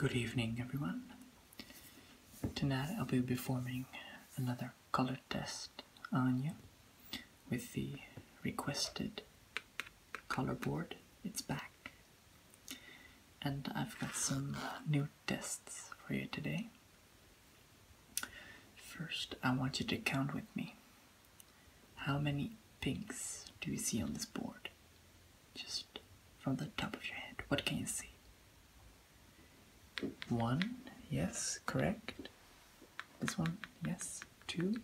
Good evening, everyone. Tonight I'll be performing another color test on you with the requested color board. It's back. And I've got some new tests for you today. First, I want you to count with me how many pinks do you see on this board? Just from the top of your head, what can you see? One, yes, correct. This one, yes. Two.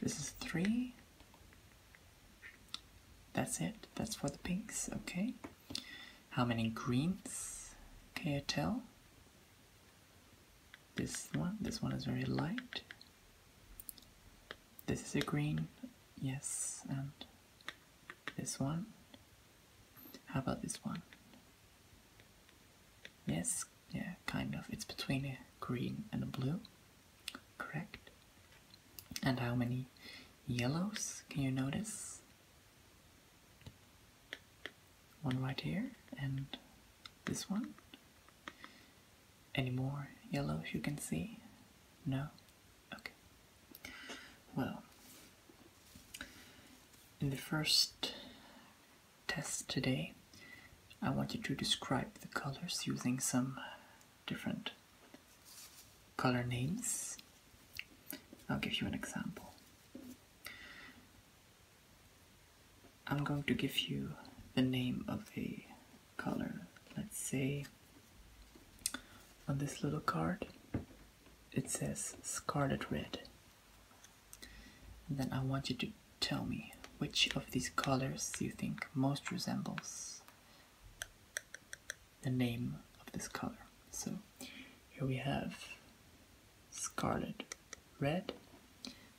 This is three. That's it. That's for the pinks. Okay. How many greens can you tell? This one. This one is very light. This is a green, yes, and this one. How about this one? Yes, yeah, kind of. It's between a green and a blue, correct? And how many yellows can you notice? One right here, and this one. Any more yellow? As you can see? No? Okay. Well, in the first test today, I want you to describe the colors using some different color names. I'll give you an example. I'm going to give you the name of the color. Let's say on this little card it says scarlet red. And then I want you to tell me which of these colors you think most resembles the name of this color. So here we have scarlet red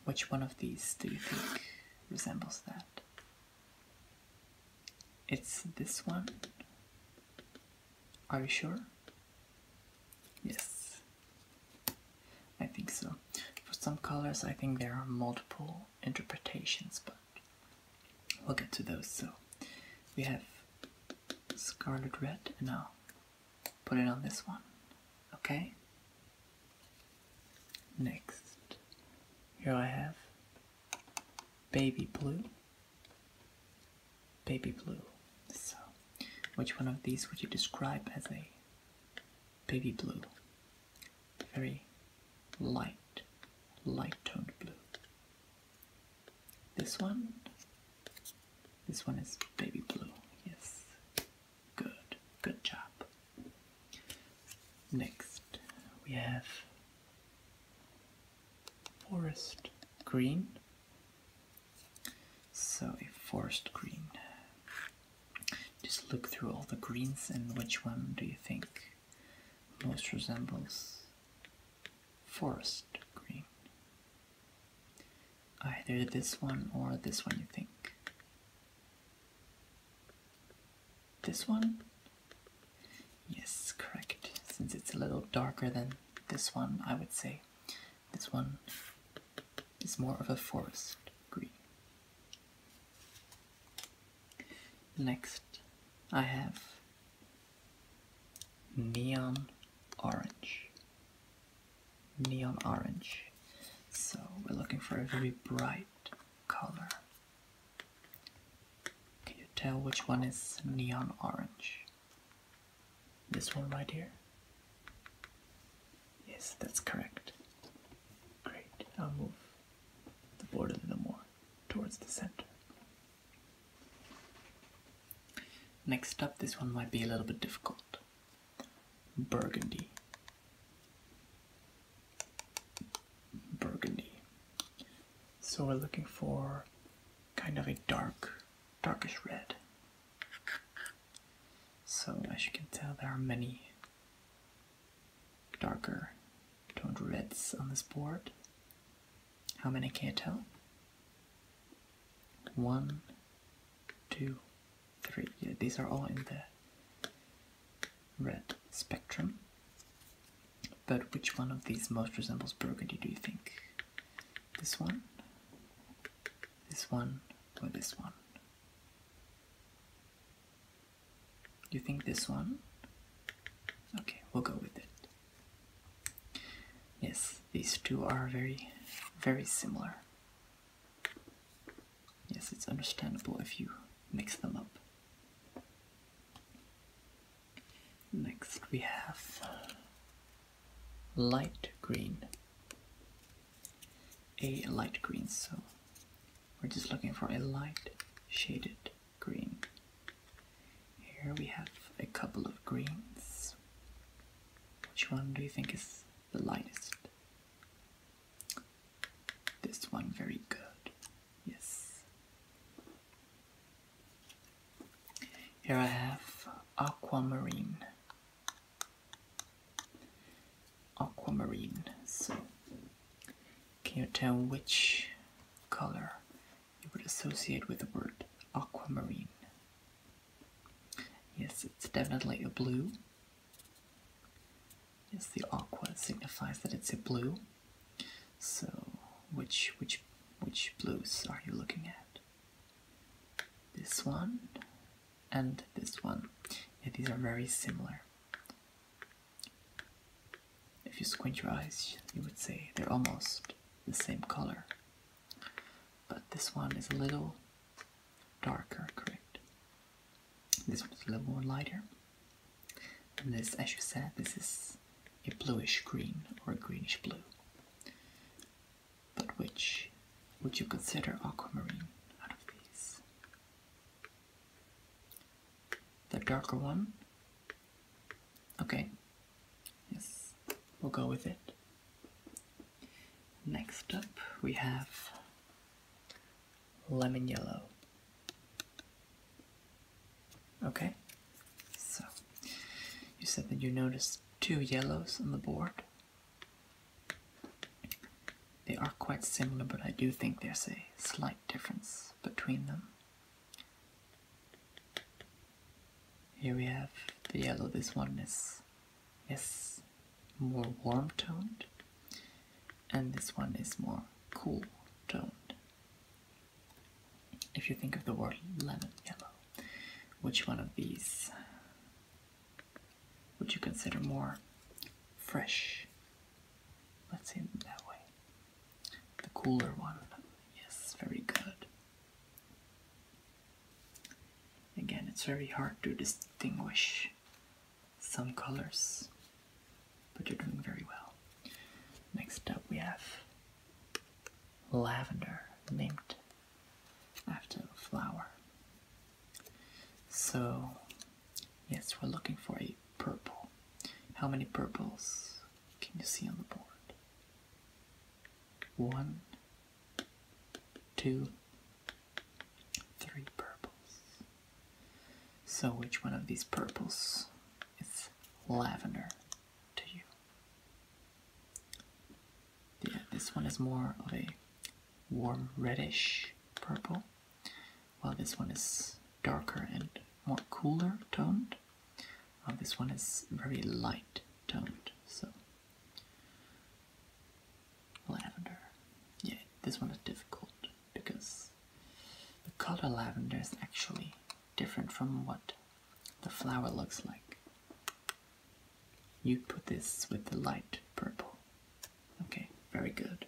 which one of these do you think resembles that? It's this one. Are you sure? Yes, I think so. For some colors, I think there are multiple interpretations, but we'll get to those. So we have scarlet red, and I'll put it on this one. Okay? Next, here I have baby blue, baby blue. So, which one of these would you describe as a baby blue? Very light, light toned blue. This one, this one is baby blue, yes. Good, good job. Next we have forest green. So a forest green. Just look through all the greens and which one do you think most resembles forest green? Either this one or this one you think. This one? Yes, correct. Since it's a little darker than this one, I would say this one is more of a forest green. Next, I have neon orange neon orange. So we're looking for a very bright color. Can you tell which one is neon orange? This one right here? Yes, that's correct. Great, I'll move the board a little more towards the center. Next up, this one might be a little bit difficult. Burgundy. Burgundy. So we're looking for kind of a dark, darkish red. So as you can tell, there are many darker toned reds on this board. How many can not tell? One, two, three. these are all in the red spectrum. But which one of these most resembles burgundy, do you think? This one? This one? Or this one? You think this one? Okay, we'll go with it. Yes, these two are very, very similar. Yes, it's understandable if you mix them up. Next we have light green. A light green, so we're just looking for a light shaded green. Here we have a couple of greens. Which one do you think is the lightest? This one very good. Yes. Here I have aquamarine. Aquamarine. So, can you tell which color you would associate with the word aquamarine? Yes, it's definitely a blue. Yes, the aqua signifies that it's a blue. So, which which which blues are you looking at? This one and this one. Yeah, these are very similar. If you squint your eyes, you would say they're almost the same color. But this one is a little darker, correct. This one's a little more lighter. And this, as you said, this is a bluish green or greenish blue. But which would you consider aquamarine out of these? The darker one? Okay. Yes, we'll go with it. Next up we have lemon yellow. Okay, so you said that you noticed two yellows on the board. They are quite similar, but I do think there's a slight difference between them. Here we have the yellow, this one is is more warm toned and this one is more cool toned. If you think of the word lemon yellow, which one of these would you consider more fresh? Let's say that way. The cooler one. Yes, very good. Again, it's very hard to distinguish some colors, but you're doing very well. Next up, we have lavender, named after a flower. So, yes, we're looking for a purple. How many purples can you see on the board? One, two, Three purples. So, which one of these purples is lavender to you? Yeah, this one is more of a warm reddish purple, while this one is darker and more cooler toned. this one is very light toned. So, Lavender. Yeah, this one is difficult because the color lavender is actually different from what the flower looks like. You put this with the light purple. Okay, very good.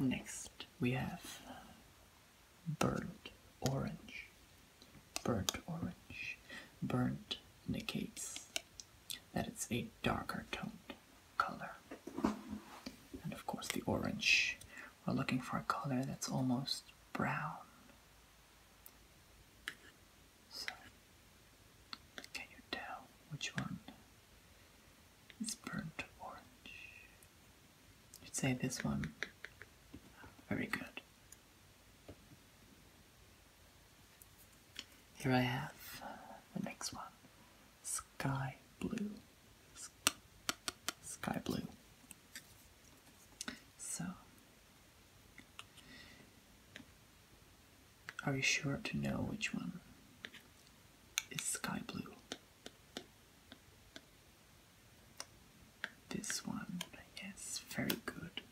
Next, we have burnt orange, burnt orange. Burnt indicates that it's a darker toned color. And of course, the orange. We're looking for a color that's almost brown. So, can you tell which one is burnt orange? You'd say this one. Very good. Here I have the next one. Sky blue. Sky blue. So, are you sure to know which one is sky blue? This one, yes, very good.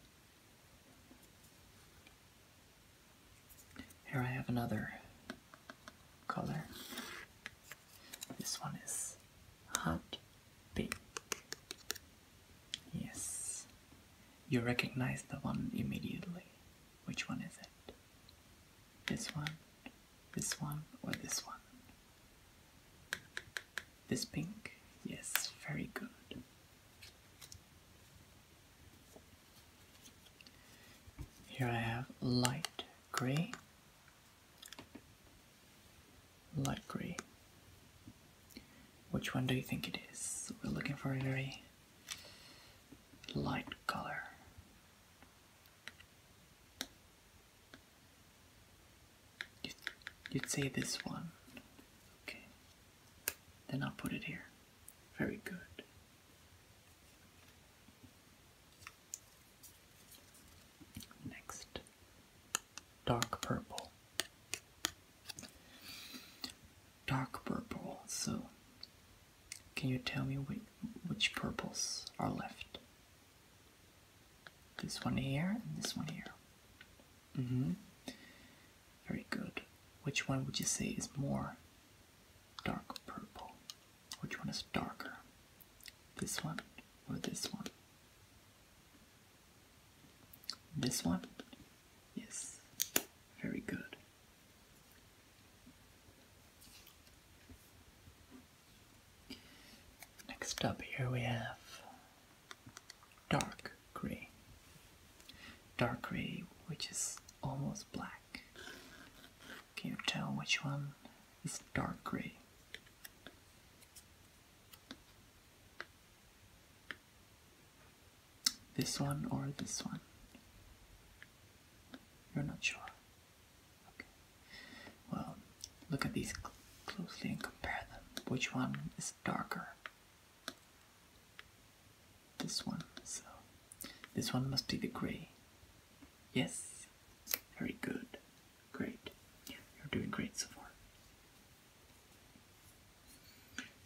Here I have another color. This one is hot pink. Yes, you recognize the one immediately. Which one is it? This one, this one, or this one? This pink? Yes, very good. Here I have light gray, light gray. Which one do you think it is? We're looking for a very light color. You'd, say this one. Okay. Then I'll put it here. Very good. Next, dark purple. Dark purple. So, can you tell me which, which purples are left? This one here and this one here. Mm-hmm. Very good. Which one would you say is more dark purple? Which one is darker? This one or this one? This one? Yes. Very good. Next up here we have dark gray. Dark gray, which is almost black. Can you tell which one is dark gray? This one or this one? You're not sure. Well, look at these closely and compare them. Which one is darker? This one. So, this one must be the gray. Yes. Very good. Great. You're doing great so far.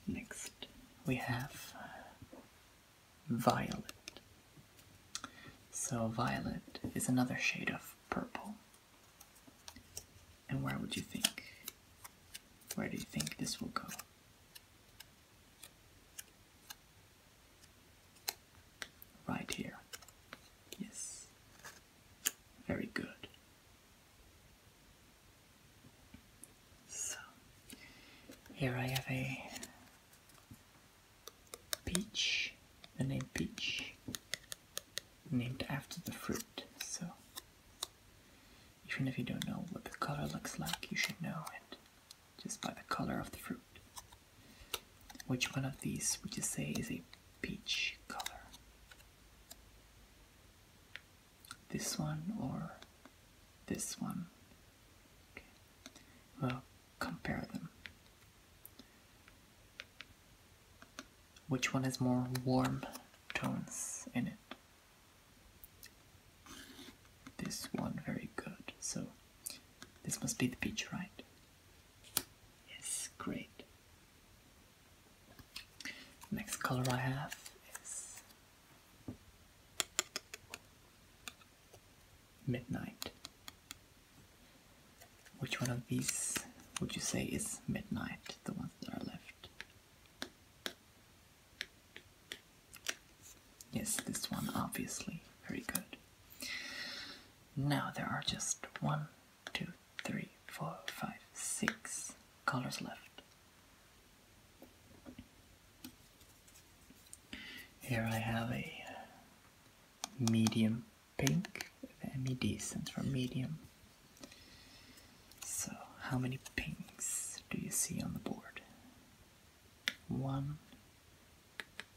Next, we have uh, violet. So, violet is another shade of purple. And where would you think? Where do you think this will go? Right here. Yes. Very good. So, here I have a Peach, the name peach, named after the fruit. So, even if you don't know what the color looks like, you should know it just by the color of the fruit. Which one of these would you say is a peach color? This one or this one? Okay. Well, compare them. Which one has more warm tones in it? This one, very good. So, this must be the beach, right? Yes, great. Next color I have is midnight. Which one of these would you say is midnight, the ones that are left? Yes, this one, obviously. Very good. Now there are just one, two, three, four, five, six colors left. Here I have a medium pink. The MED stands for medium. So, how many pinks do you see on the board? One,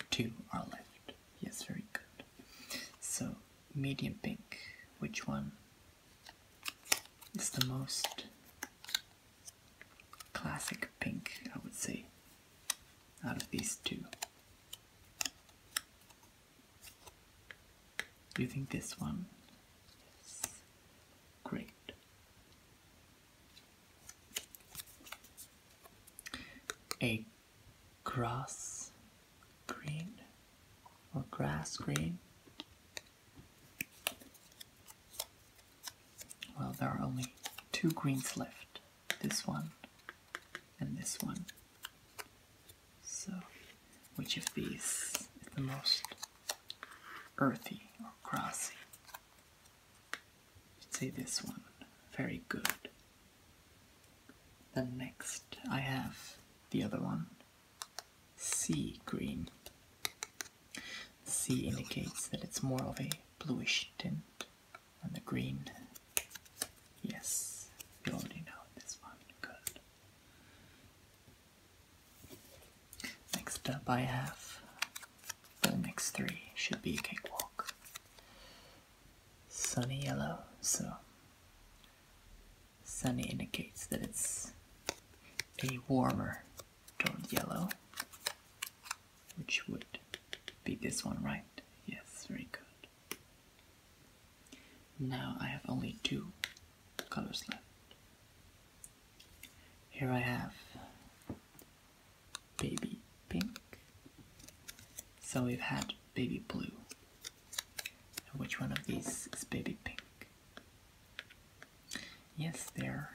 two are left. Yes, very good. So, medium pink, which one is the most classic pink, I would say, out of these two? Do you think this one is great? A grass green or grass green? Well, there are only two greens left this one, and this one. So, which of these is the most earthy or grassy? I'd say this one. Very good. Then next I have the other one, sea green. C indicates that it's more of a bluish tint and the green. Yes, you already know this one. Good. Next up, I have the next three. Should be a cakewalk. Sunny yellow, so sunny indicates that it's a warmer toned yellow, which would be this one, right? Yes, very good. Now I have only two colors left. Here I have baby pink. So we've had baby blue. Which one of these is baby pink? Yes, they're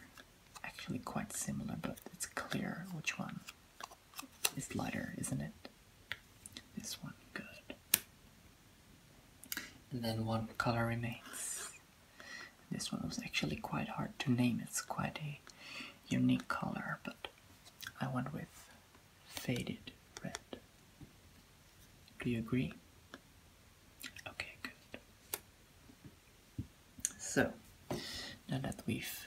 actually quite similar, but it's clear which one it's lighter, isn't it? This one, good. And then one color remains. This one was actually quite hard to name. It's quite a unique color, but I went with faded red. Do you agree? Okay, good. So, now that we've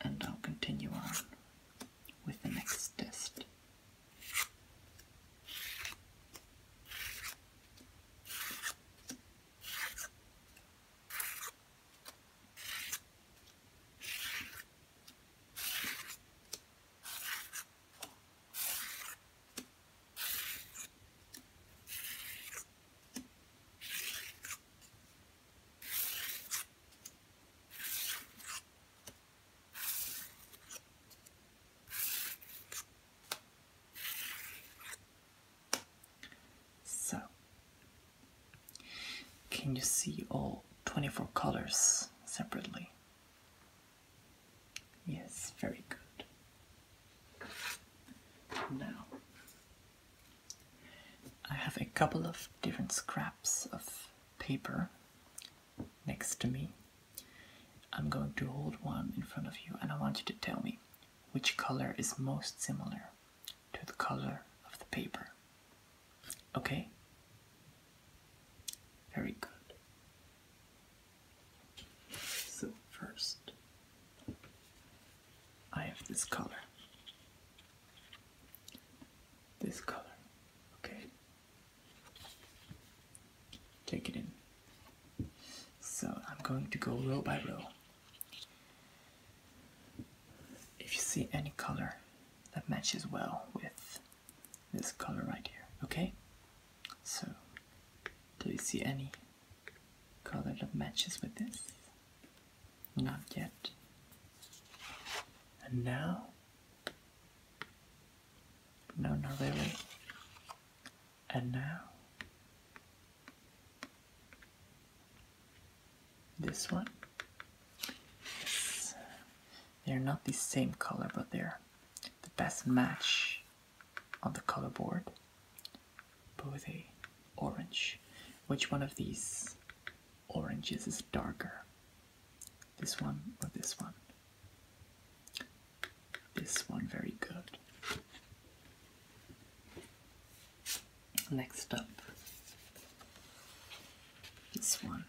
And I'll continue on with the next test. So, can you see all 24 colors separately? Yes, very good. Now, I have a couple of different scraps of paper next to me. I'm going to hold one in front of you and I want you to tell me which color is most similar to the color of the paper. Okay? Very good. So, first I have this color. This color. Okay. Take it in. So I'm going to go row by row. If you see any color that matches well with this color right here, okay? So, do you see any color that matches with this. Not yet. And now? No, not really. And now? This one? Yes. They're not the same color, but they're the best match on the color board. But a orange. Which one of these oranges is darker? This one or this one? This one, very good. Next up, this one,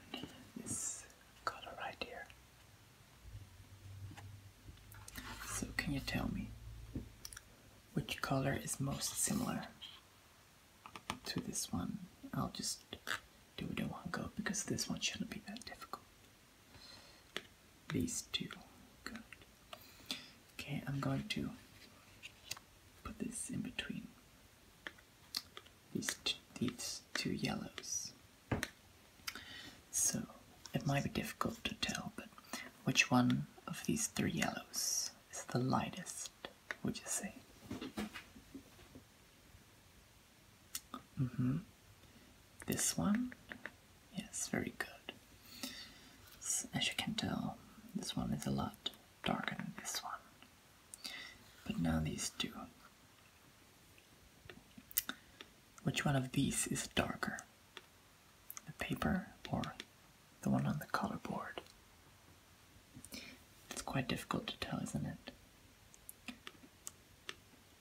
this color right here. So, can you tell me which color is most similar to this one. I'll just do it in one go because this one shouldn't be that difficult. These two, good. Okay, I'm going to put this in between these these two yellows. So it might be difficult to tell, but which one of these three yellows is the lightest, would you say? -hmm. This one? Yes, very good. as you can tell, this one is a lot darker than this one. But now these two. Which one of these is darker? the paper or the one on the color board. It's quite difficult to tell, isn't it?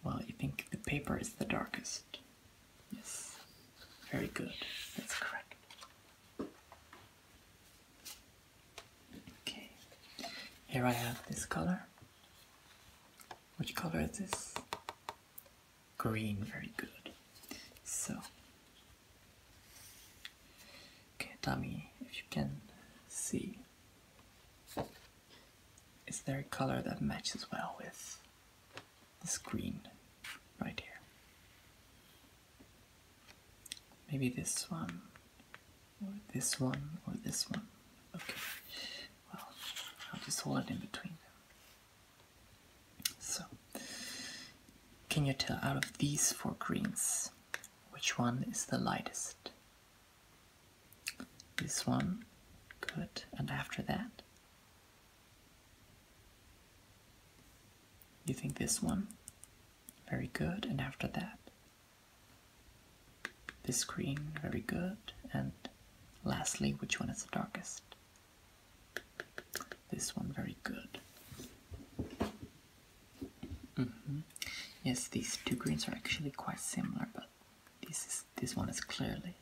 Well, you think the paper is the darkest. Yes. Very good. That's correct. Okay. Here I have this color. Which color is this? green, very good. So, okay, Tommy, if you can see, is there a color that matches well with this green right here? Maybe this one, or this one, or this one. Okay, well, I'll just hold it in between so, can you tell out of these four greens which one is the lightest? This one, good, and after that? You think this one? Very good, and after that? This green, very good, and lastly, which one is the darkest? This one very good. Mm-hmm. Yes, these two greens are actually quite similar, but this is this one is clearly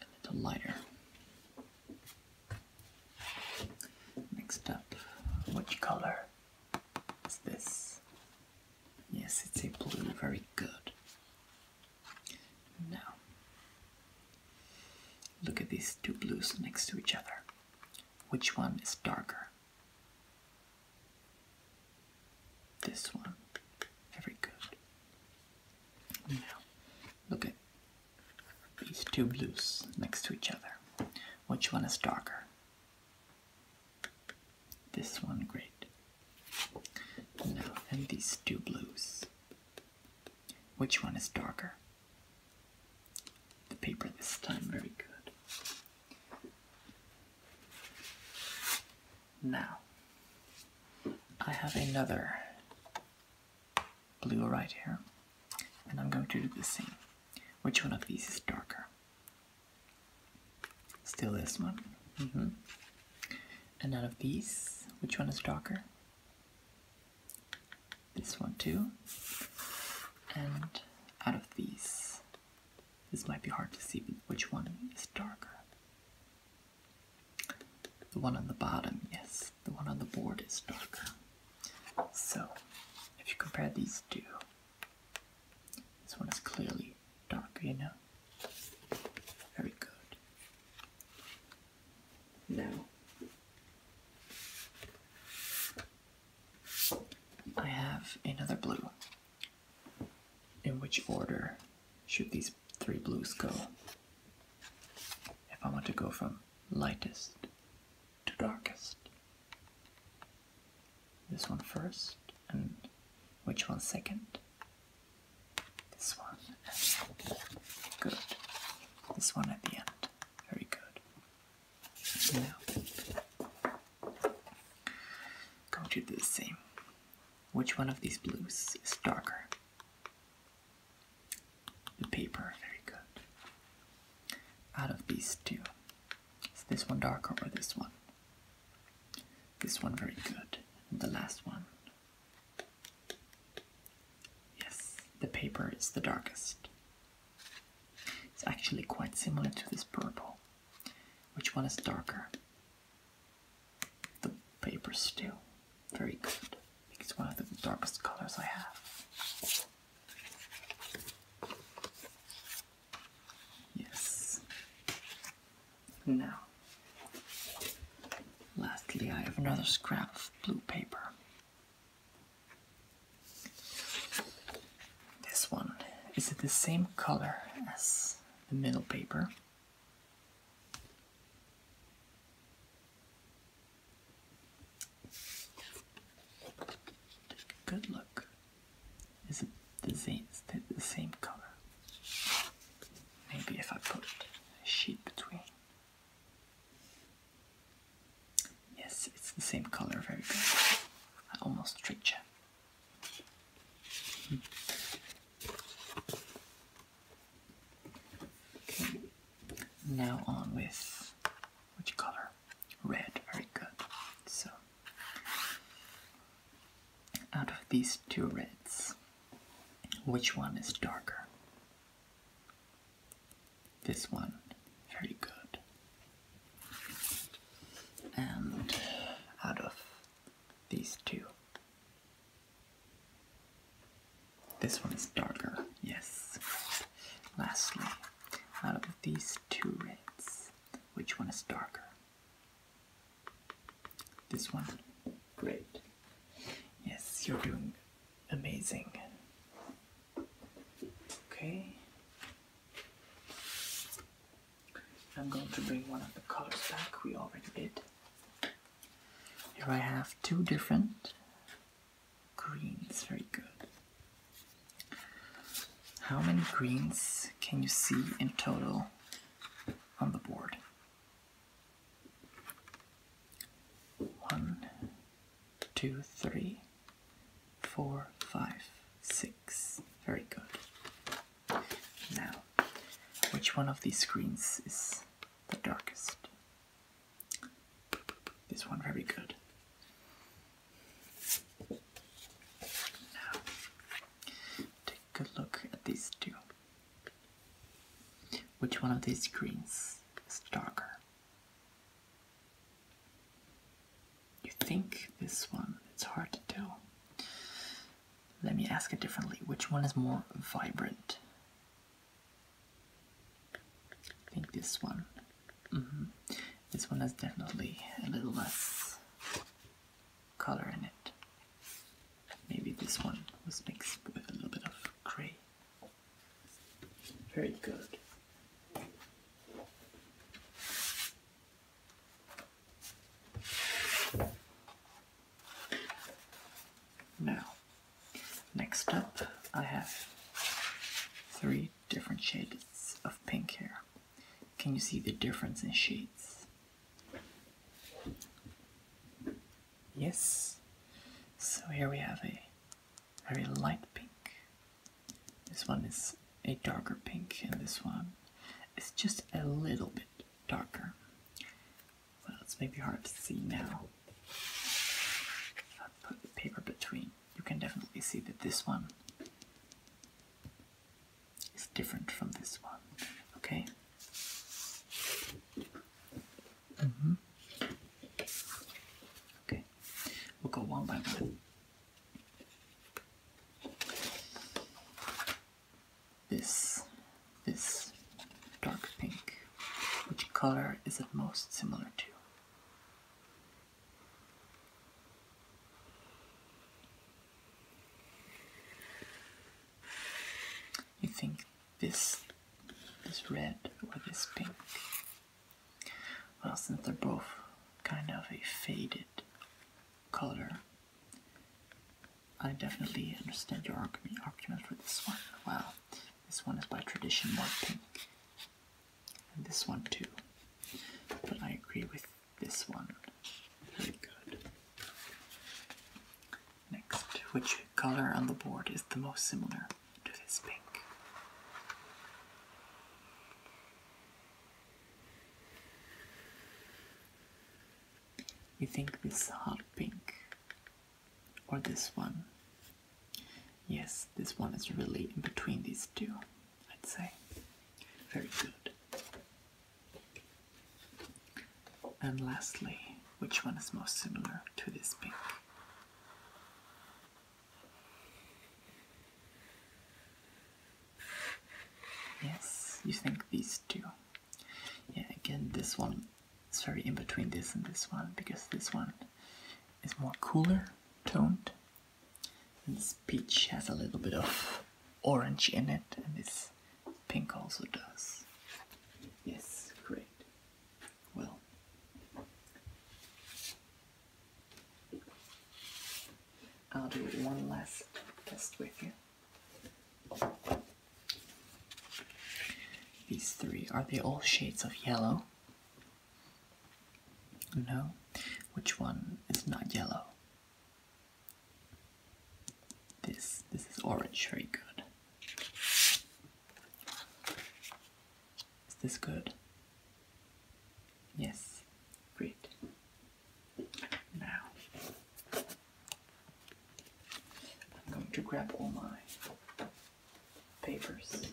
a little lighter. Next up, which color is this? Yes, it's a blue, very good. Now, look at these two blues next to each other. Which one is darker? This one. Very good. Now, look at these two blues next to each other. Which one is darker? This one, great. Now, and these two blues which one is darker? The paper this time, very good. Now, I have another blue right here, and I'm going to do the same. Which one of these is darker? Still this one. Mm-hmm. And out of these, which one is darker? this one too. And out of these, this might be hard to see which one is darker. The one on the bottom, yes, the one on the board is darker. So, if you compare these two, this one is clearly darker, you know? Very good. No. I have another blue. In which order should these three blues go? If I want to go from lightest to darkest. This one first, and which one second? This one at the end. Good. This one at the end. Very good. Now, going to do the same. Which one of these blues is darker? The paper. Very good. Out of these two, is this one darker or this one? This one very good. And the last one. Yes, the paper is the darkest. It's actually quite similar to this purple. Which one is darker? The paper still Very good. It's one of the darkest colors I have. Yes. Now, Lastly, I have another scrap of blue paper. This one is it the same color as the middle paper? good look. Is it the same color? Maybe if I put a sheet between. Yes, it's the same color, very good. I almost tricked you. Okay. Now on with which color? Red, very good. So, out of these two reds, which one is darker? This one. Very good. And out of these two, this one is darker, yes. Lastly, out of these two reds, which one is darker? This one. Great. Yes, you're doing amazing. Okay. I'm going to bring one of the colors back we already did. Here I have two different greens. Very good. How many greens can you see in total on the board? One, two, three, four, five, six. Very good. Now, which one of these screens is the darkest? This one, very good. Now, take a look at these two. Which one of these greens is darker? You think this one, it's hard to tell. Let me ask it differently. Which one is more vibrant? I think this one. Mm-hmm. This one has definitely a little less color in it. Maybe this one was mixed with a little bit of grey. Very good. Now, next up, I have three different shades of pink here. Can you see the difference in shades? Yes. So here we have a very light pink. This one is a darker pink, and this one is just a little bit darker. Well, it's maybe hard to see now. I put paper between, you can definitely see that this one is different from this one. Okay, Mm -hmm. Okay, we'll go one by one. This, this dark pink, which color is it most similar to? You think this this red or this pink. Well, since they're both kind of a faded color, I definitely understand your argument for this one. Well, this one is by tradition more pink, and this one too. But I agree with this one. Very good. Next, which color on the board is the most similar to this pink? You think this hot pink or this one. Yes, this one is really in between these two, I'd say. Very good. And lastly, which one is most similar to this pink? Yes, you think these two. Yeah, again, this one is very in between this and this one because this one is more cooler toned. And this peach has a little bit of orange in it, and this Pink also does. Yes, great. Well, I'll do one last test with you. These three, are they all shades of yellow? No? Which one is not yellow? This this is orange, very good. Is this good? Yes, great. Now I'm going to grab all my papers.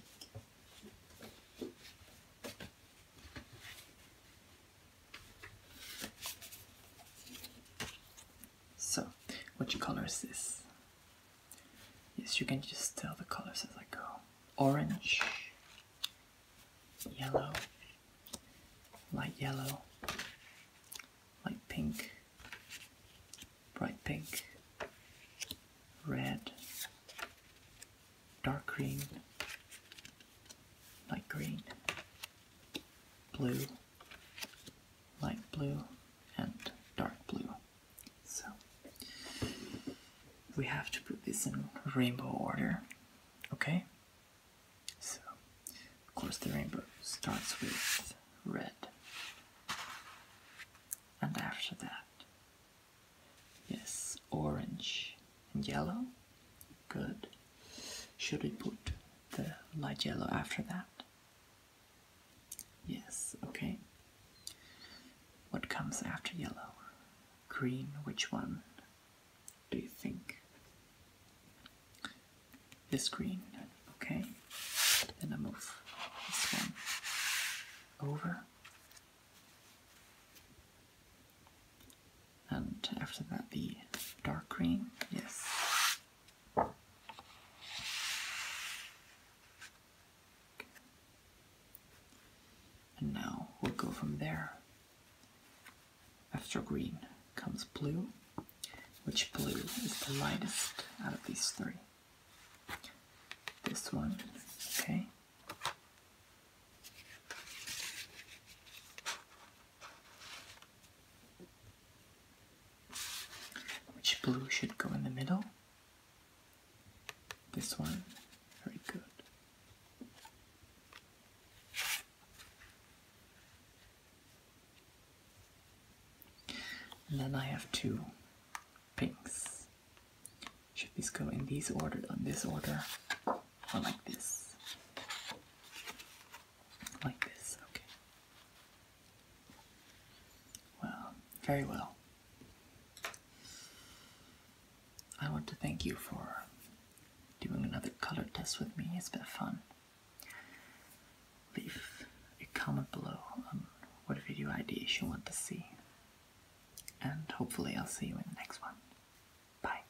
So, what color is this? Yes, you can just tell the colors as I go. Orange, yellow, light yellow, light pink, bright pink, red, dark green, light green, blue, light blue and dark blue. So we have to put this in rainbow order, okay? So, of course, the rainbow starts with red. And after that, yes, orange and yellow, good. Should we put the light yellow after that? Yes, okay. What comes after yellow? Green, which one do you think? This green, okay. Then I move this one over and after that the dark green, yes. And now we'll go from there. After green comes blue, which blue is the lightest out of these three. This one, okay. Which blue should go in the middle? This one. Very good. And then I have two pinks. Should these go in these order, on this order, or like this? Like this, okay. Well, very well. I want to thank you for doing another color test with me. It's been fun. Leave a comment below on what video ideas you want to see. And hopefully I'll see you in the next one. Bye.